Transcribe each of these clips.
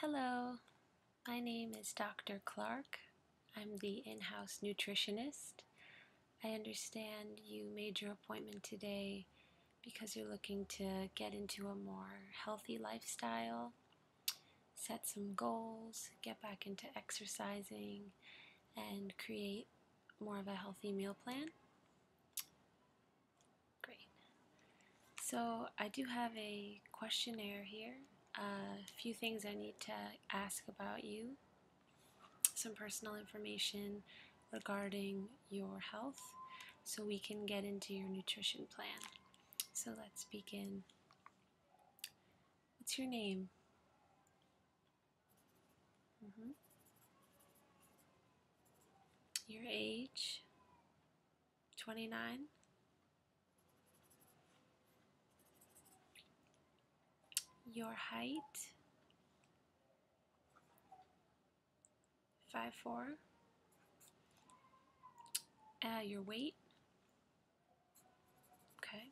Hello, my name is Dr. Clark. I'm the in house nutritionist. I understand you made your appointment today because you're looking to get into a more healthy lifestyle, set some goals, get back into exercising, and create more of a healthy meal plan. Great. So I do have a questionnaire here. a uh, few things I need to ask about you. Some personal information regarding your health so we can get into your nutrition plan. So let's begin. What's your name? Mm-hmm. Your age? 29 your height Five four. uh, your weight okay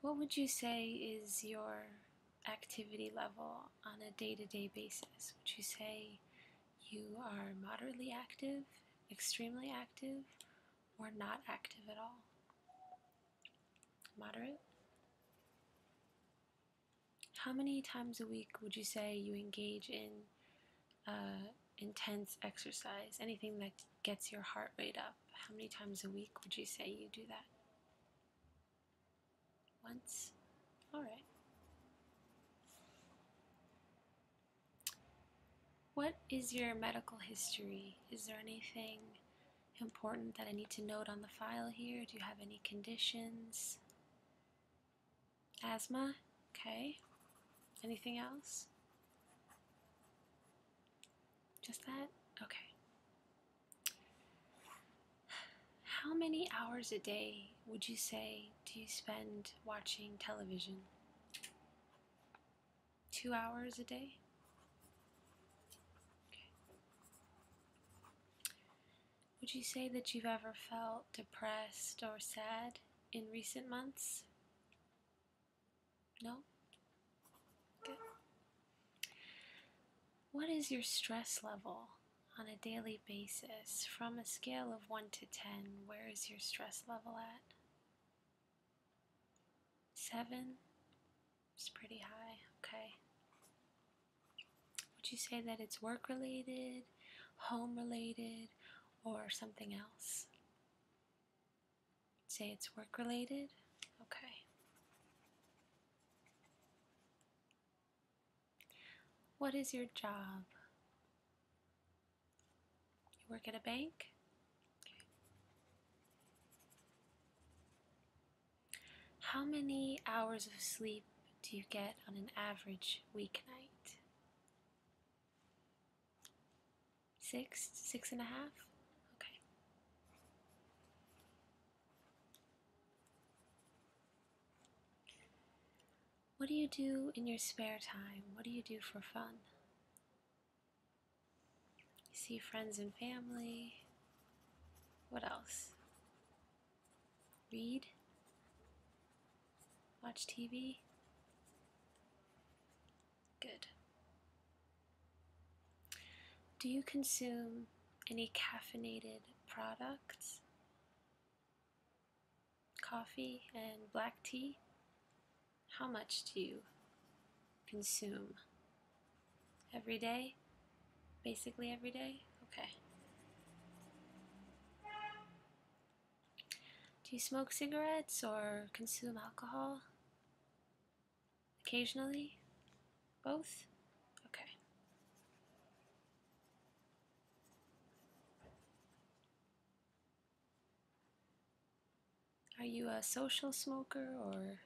what would you say is your activity level on a day to day basis? Would you say you are moderately active, extremely active, or not active at all? Moderate? How many times a week would you say you engage in uh, intense exercise, anything that gets your heart rate up? How many times a week would you say you do that? Once? Alright. What is your medical history? Is there anything important that I need to note on the file here? Do you have any conditions? Asthma? Okay. Anything else? Just that? Okay. How many hours a day would you say do you spend watching television? Two hours a day? Would you say that you've ever felt depressed or sad in recent months? No? Good. What is your stress level on a daily basis? From a scale of 1 to 10, where is your stress level at? 7? It's pretty high, okay. Would you say that it's work related, home related, or something else? Say it's work related, okay. What is your job? You work at a bank? How many hours of sleep do you get on an average weeknight? Six? Six and a half? Okay. What do you do in your spare time? What do you do for fun? see friends and family. What else? Read? Watch TV? Good. Do you consume any caffeinated products? Coffee and black tea? How much do you consume? Every day? Basically every day? Okay. Do you smoke cigarettes or consume alcohol? Occasionally? Both? Okay. Are you a social smoker or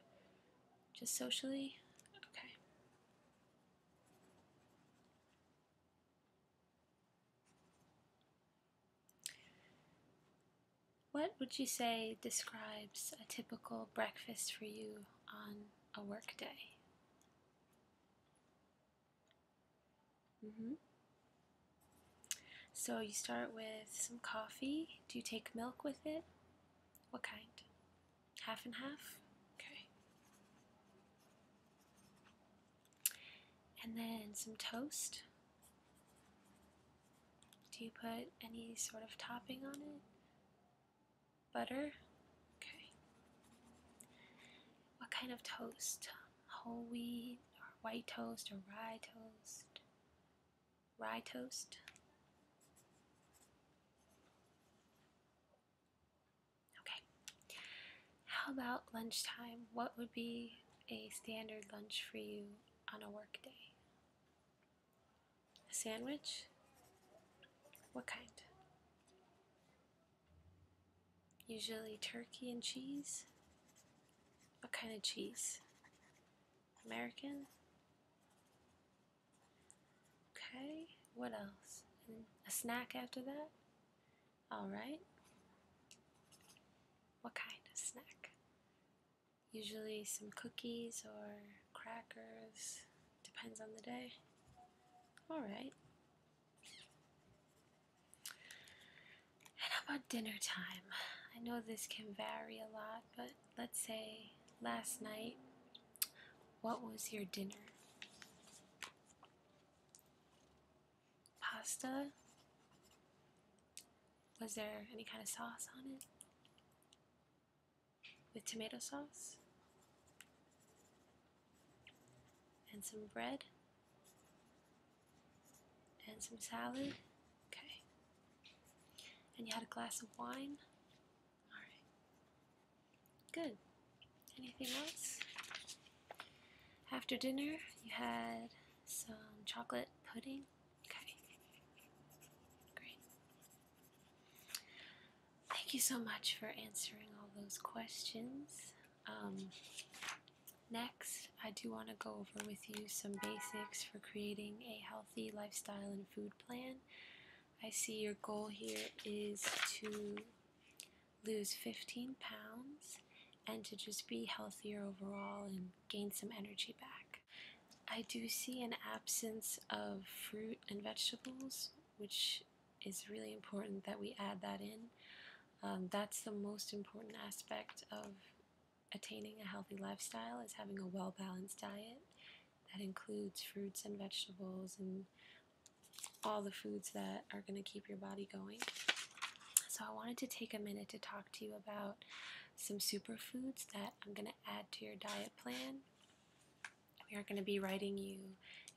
just socially? Okay. What would you say describes a typical breakfast for you on a workday. day. Mm So you start with some coffee. Do you take milk with it? What kind? Half and half? Okay. And then some toast. Do you put any sort of topping on it? Butter? Okay. What kind of toast? Whole wheat or white toast or rye toast? Rye toast? Okay. How about lunchtime? What would be a standard lunch for you on a workday? A sandwich? What kind? Usually turkey and cheese? What kind of cheese? American? Okay, what else? a snack after that? Alright. What kind of snack? Usually some cookies or crackers, depends on the day. Alright. And how about dinner time? I know this can vary a lot, but let's say last night, what was your dinner? Pasta? Was there any kind of sauce on it? With tomato sauce? And some bread? And some salad? Okay. And you had a glass of wine? Alright. Good. Anything else? After dinner, you had some chocolate pudding Okay. Great. Thank you so much for answering all those questions. Um, next, I do want to go over with you some basics for creating a healthy lifestyle and food plan. I see your goal here is to lose 15 pounds and to just be healthier overall gain some energy back. I do see an absence of fruit and vegetables, which is really important that we add that in. Um, that's the most important aspect of attaining a healthy lifestyle is having a well-balanced diet that includes fruits and vegetables and all the foods that are going to keep your body going. So I wanted to take a minute to talk to you about some superfoods that I'm going to add to your diet plan. We are going to be writing you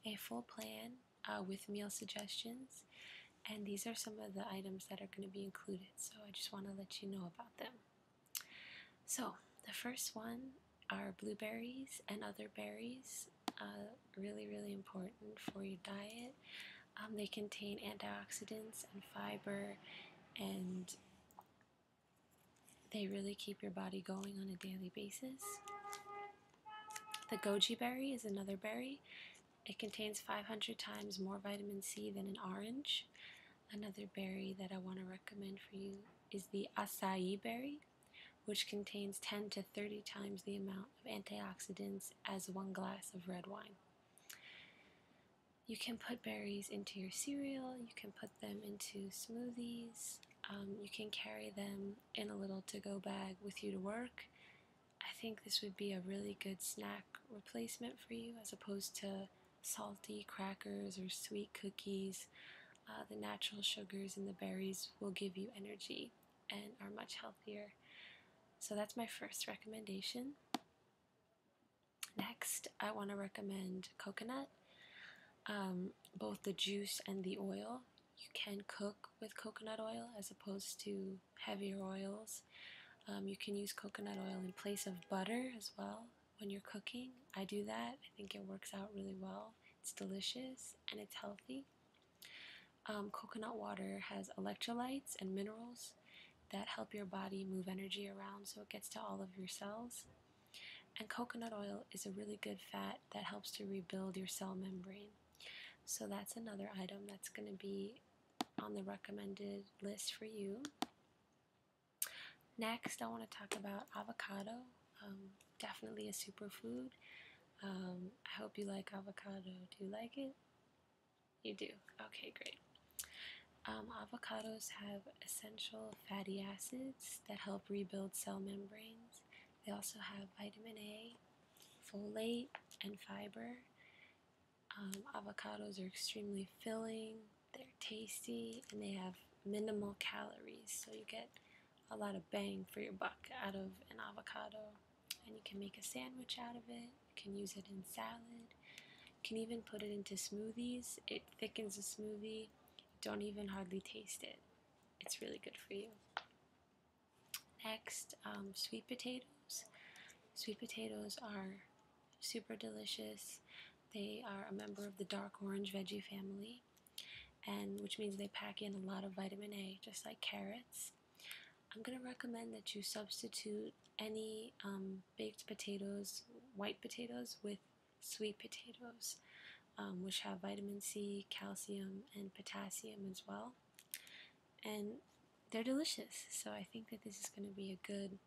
a full plan uh, with meal suggestions, and these are some of the items that are going to be included. So I just want to let you know about them. So the first one are blueberries and other berries. Uh, really, really important for your diet. Um, they contain antioxidants and fiber, and they really keep your body going on a daily basis. The goji berry is another berry. It contains 500 times more vitamin C than an orange. Another berry that I want to recommend for you is the acai berry, which contains 10 to 30 times the amount of antioxidants as one glass of red wine. You can put berries into your cereal, you can put them into smoothies, um, you can carry them in a little to go bag with you to work. I think this would be a really good snack replacement for you as opposed to salty crackers or sweet cookies. Uh, the natural sugars in the berries will give you energy and are much healthier. So that's my first recommendation. Next, I want to recommend coconut, um, both the juice and the oil. You can cook with coconut oil as opposed to heavier oils. Um, you can use coconut oil in place of butter as well when you're cooking. I do that, I think it works out really well. It's delicious and it's healthy. Um, coconut water has electrolytes and minerals that help your body move energy around so it gets to all of your cells. And coconut oil is a really good fat that helps to rebuild your cell membrane. So that's another item that's going to be on the recommended list for you. Next, I want to talk about avocado. Um, definitely a superfood. Um, I hope you like avocado. Do you like it? You do. Okay, great. Um, avocados have essential fatty acids that help rebuild cell membranes. They also have vitamin A, folate, and fiber. Um, avocados are extremely filling, they're tasty, and they have minimal calories, so you get a lot of bang for your buck out of an avocado and you can make a sandwich out of it. You can use it in salad. You can even put it into smoothies. It thickens a smoothie. You don't even hardly taste it. It's really good for you. Next, um, sweet potatoes. Sweet potatoes are super delicious. They are a member of the dark orange veggie family, and which means they pack in a lot of vitamin A, just like carrots. I'm going to recommend that you substitute any um, baked potatoes, white potatoes, with sweet potatoes, um, which have vitamin C, calcium, and potassium as well. And they're delicious, so I think that this is going to be a good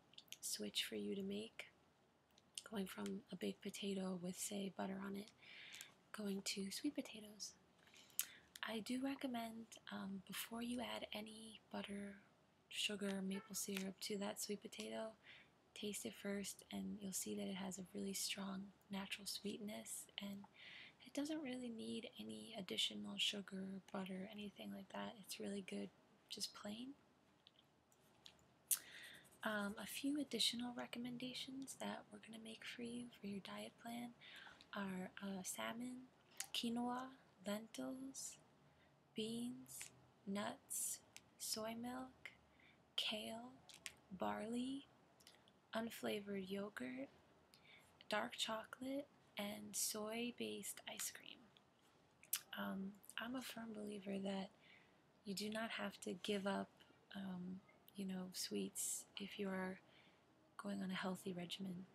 switch for you to make. Going from a baked potato with, say, butter on it, going to sweet potatoes. I do recommend um, before you add any butter, sugar, maple syrup to that sweet potato, taste it first and you'll see that it has a really strong natural sweetness and it doesn't really need any additional sugar, butter, anything like that. It's really good just plain. Um, a few additional recommendations that we're going to make for you for your diet plan are uh, salmon, quinoa, lentils, beans, nuts, soy milk, kale, barley, unflavored yogurt, dark chocolate, and soy based ice cream. Um, I'm a firm believer that you do not have to give up, um, you know, sweets if you are going on a healthy regimen,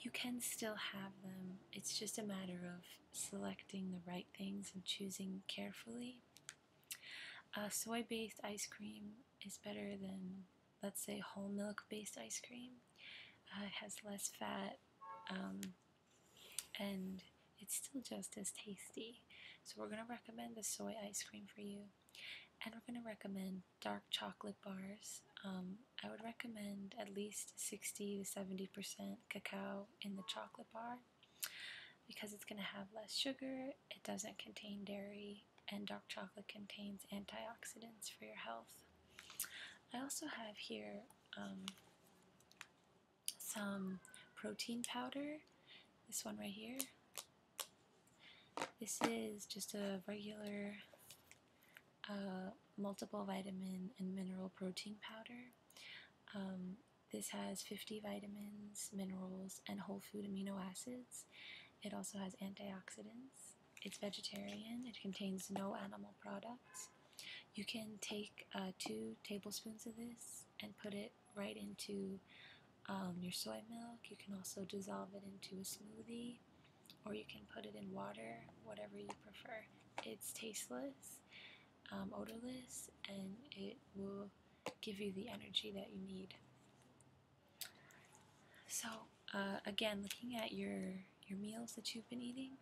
you can still have them. It's just a matter of selecting the right things and choosing carefully. Uh, soy based ice cream is better than, let's say, whole milk based ice cream. Uh, it has less fat um, and it's still just as tasty. So, we're going to recommend the soy ice cream for you, and we're going to recommend dark chocolate bars. Um, I would recommend at least 60 to 70% cacao in the chocolate bar because it's going to have less sugar, it doesn't contain dairy, and dark chocolate contains antioxidants for your health. I also have here um, some protein powder, this one right here. This is just a regular uh, multiple vitamin and mineral protein powder. Um, this has 50 vitamins, minerals, and whole food amino acids. It also has antioxidants. It's vegetarian. It contains no animal products. You can take uh, two tablespoons of this and put it right into um, your soy milk. You can also dissolve it into a smoothie or you can put it in water, whatever you prefer. It's tasteless, um, odorless, and it will give you the energy that you need. So, uh, again, looking at your, your meals that you've been eating,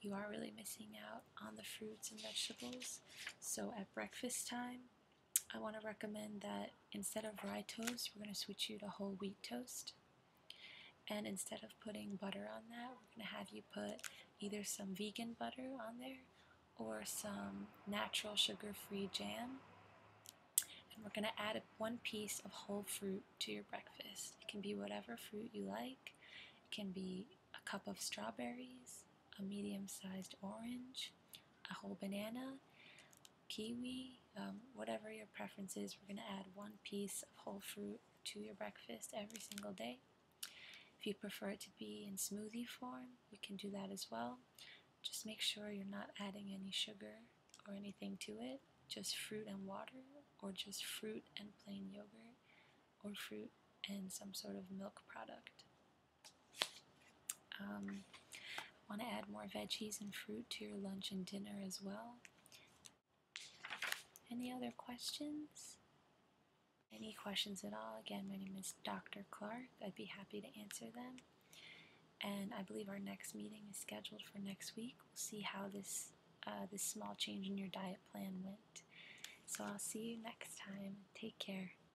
you are really missing out on the fruits and vegetables. So, at breakfast time, I want to recommend that instead of rye toast, we're going to switch you to whole wheat toast. And instead of putting butter on that, we're going to have you put either some vegan butter on there or some natural sugar-free jam. And we're going to add one piece of whole fruit to your breakfast. It can be whatever fruit you like. It can be a cup of strawberries, a medium-sized orange, a whole banana, kiwi, um, whatever your preference is. We're going to add one piece of whole fruit to your breakfast every single day. If you prefer it to be in smoothie form, you can do that as well. Just make sure you're not adding any sugar or anything to it, just fruit and water, or just fruit and plain yogurt, or fruit and some sort of milk product. I um, want to add more veggies and fruit to your lunch and dinner as well. Any other questions? Any questions at all? Again, my name is Dr. Clark. I'd be happy to answer them. And I believe our next meeting is scheduled for next week. We'll see how this uh, this small change in your diet plan went. So I'll see you next time. Take care.